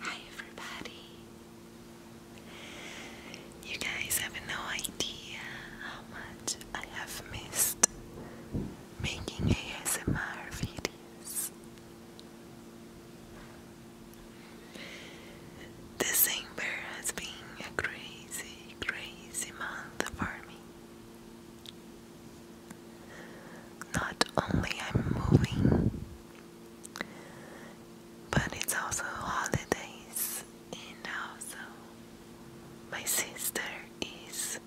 Hi everybody. You guys have no idea how much I have missed making ASMR videos. December has been a crazy, crazy month for me. Not only I'm moving, but it's also holidays, and also my sister is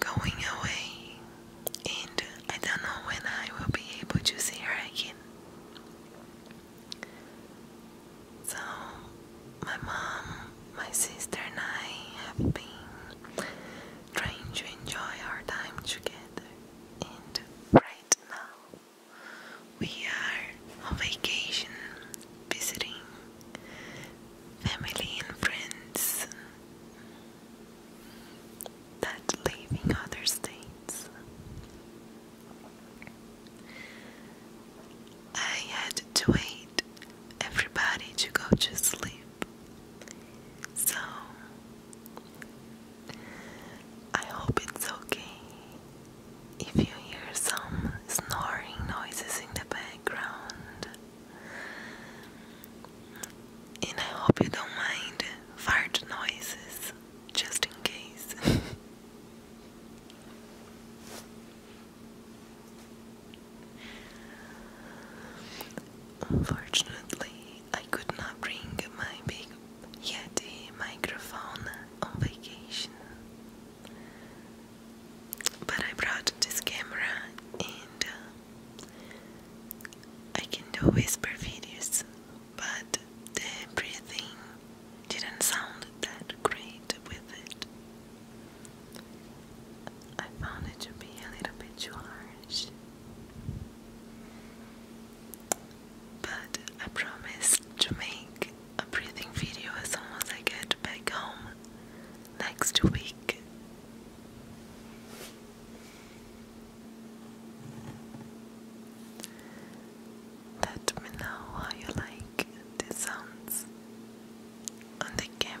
going away, and I don't know when I will be able to see her again. So, my mom, my sister, and I have been trying to enjoy our time together. And right now, we are on vacation, visiting family and friends that live in other states. I had to wait everybody to go to sleep so I hope it's okay if you hear some snoring noises in the background. And I hope you don't mind fart noises just in case. Unfortunately, I could not bring my big Yeti microphone on vacation. But I brought this camera and uh, I can do whisper videos, but the breathing didn't sound that great with it. I found it to be a little bit harsh. But I promised to make a breathing video as soon as I get back home next week. Let me know how you like the sounds on the camera.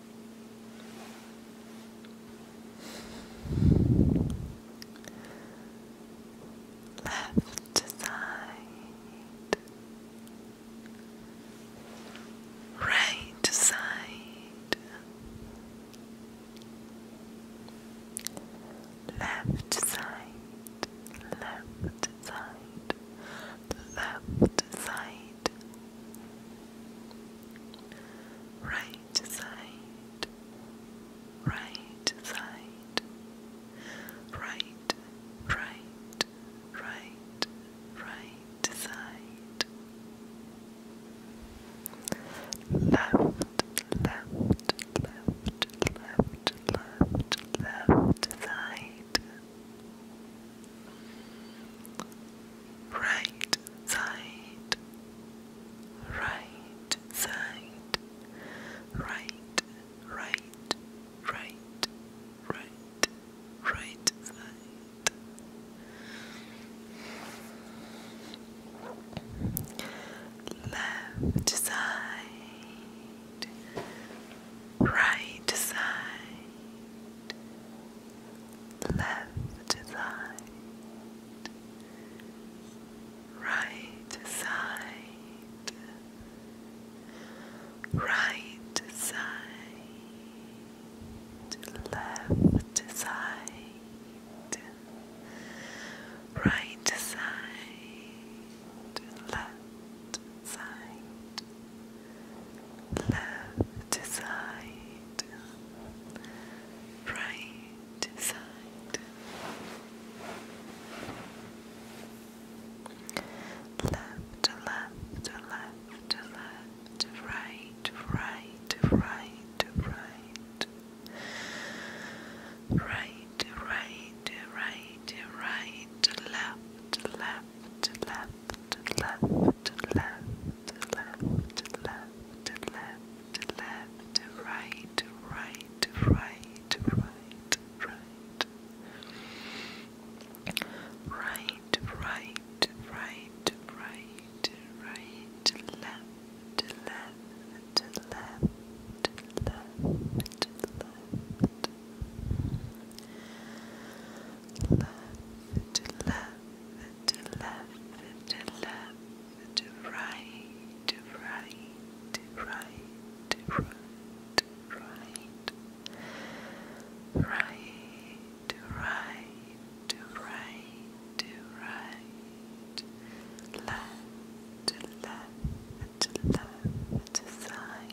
Left side, right side, left side, left side, left side, right right side, right side, right, right, right, right side, left, left, left, left, left, left side right side, right side, right, right, right, right, right side. Left side, right side, left side, right side, right side, left side, right side, left side. Left side, right side, left, left, left, left, right, right, right, right, right, right, right, right, left, left, left left, left, left, left, left, left, left, right, right, right, right, right. Right, right, right, right, right, left, left, left, left, left. Left, left, to left, to left, to right, to right, to right, to right, to right, right, to right, to right, to right, left, to left, to left, to side.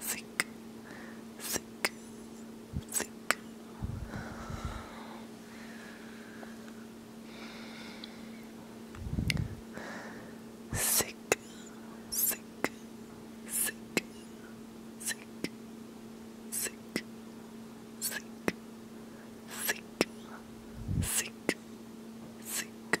Think, think, think. Sick, sick, sick, sick, sick, sick, sick, sick, sick,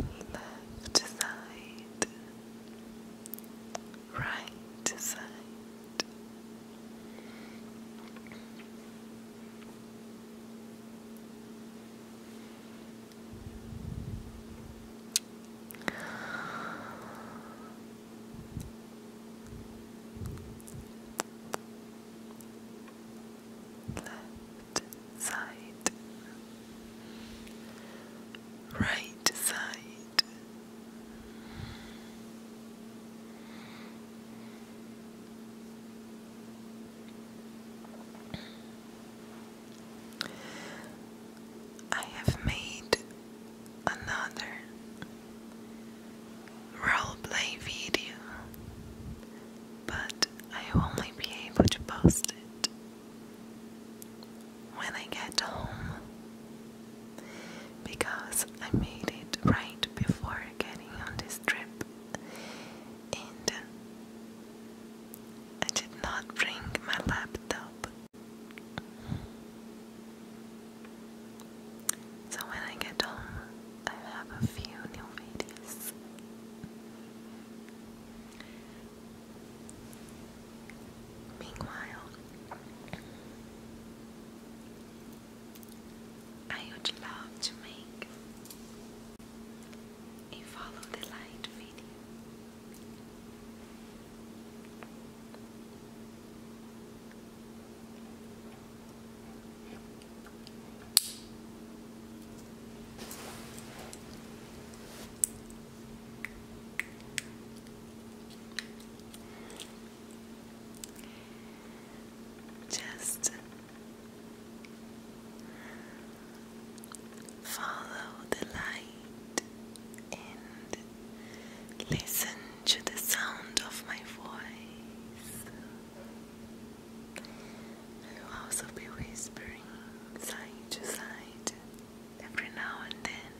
left side, right side left side, right side. I have made another roleplay video, but I will only be able to post it when I get home because I made it right before getting on this trip and I did not bring my laptop. So when I get home, I have a few new videos. Meanwhile, I would love to make a follow the light video. Just follow the light and listen to the sound of my voice. I will also be whispering side to side every now and then.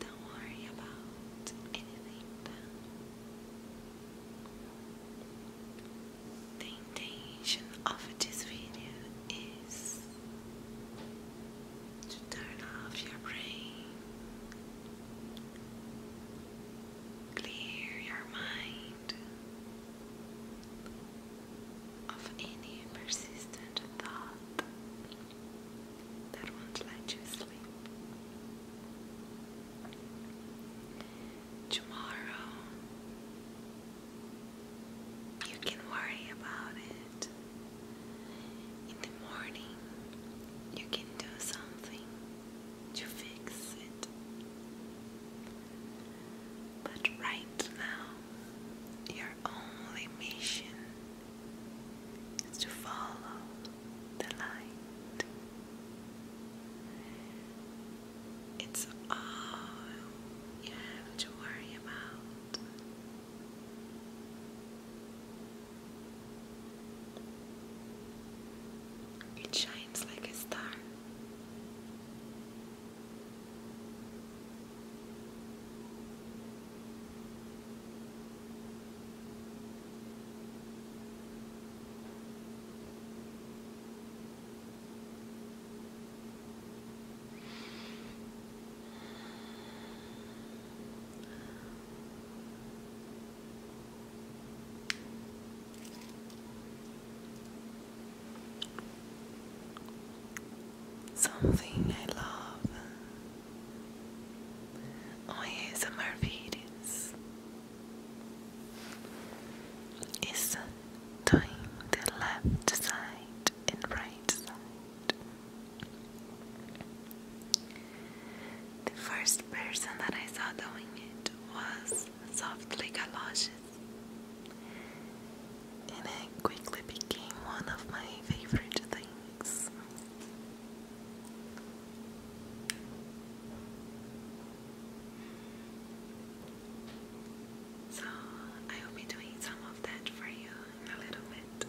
Don't worry about anything. The intention of this video is to turn off your brain, clear your mind of any persistent thought that won't let you sleep. Tomorrow, you can worry about it. In the morning, you can do something to fix it. But right now, your only mission is to follow the light. It's all you have to worry about. It shines like a star. Something I love o ASMR videos is doing the left side and right side. The first person that I saw doing it was Softly Galoshes, and it quickly became one of my favorite things. So I will be doing some of that for you in a little bit.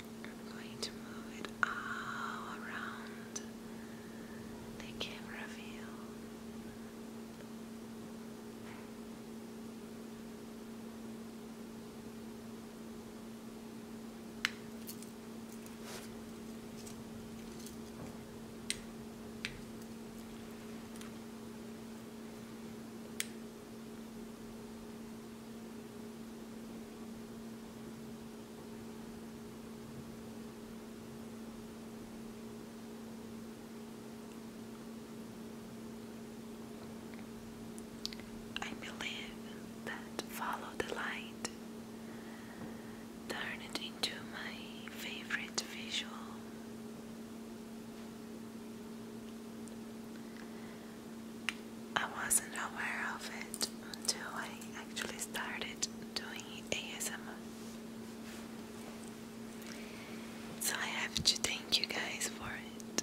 I'm going to move it all around the camera view. I believe that follow the light turned into my favorite visual. I wasn't aware of it until I actually started doing ASMR. So I have to thank you guys for it.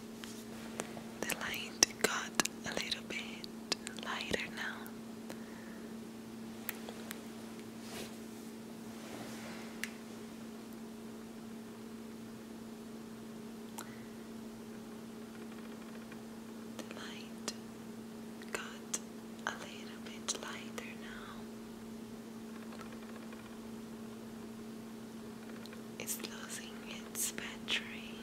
The light got a little bit lighter now. The light got a little bit lighter now. It's losing its battery.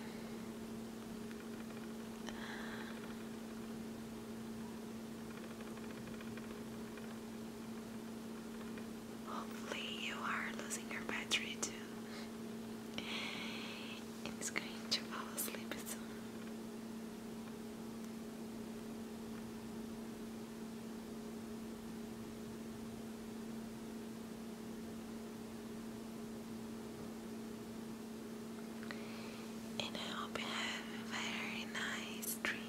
Hopefully, you are losing your battery too. It's going to fall asleep soon. And I hope you have very nice dreams.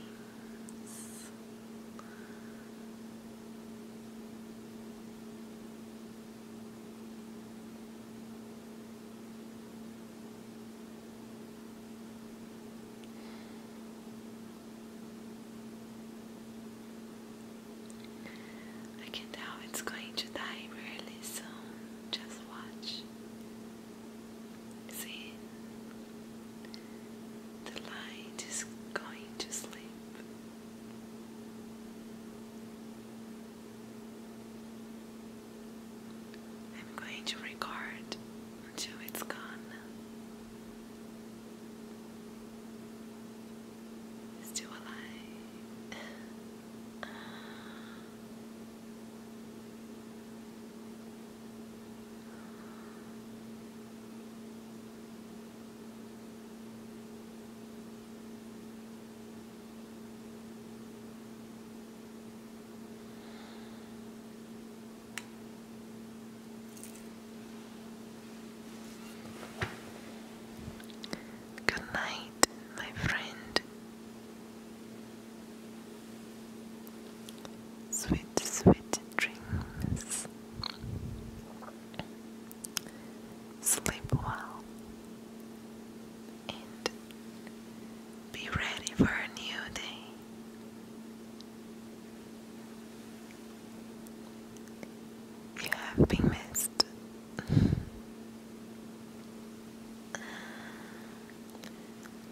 I can tell it's going to die really soon. Just watch. See, the light is going to sleep. I'm going to record until it's gone. Still alive. Good night, my friend. Sweet, sweet dreams. Sleep well and be ready for a new day. You have been missed.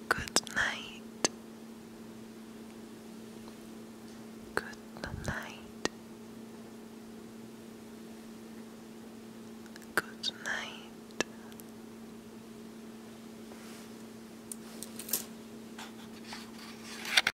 Good night. Good night. Good night.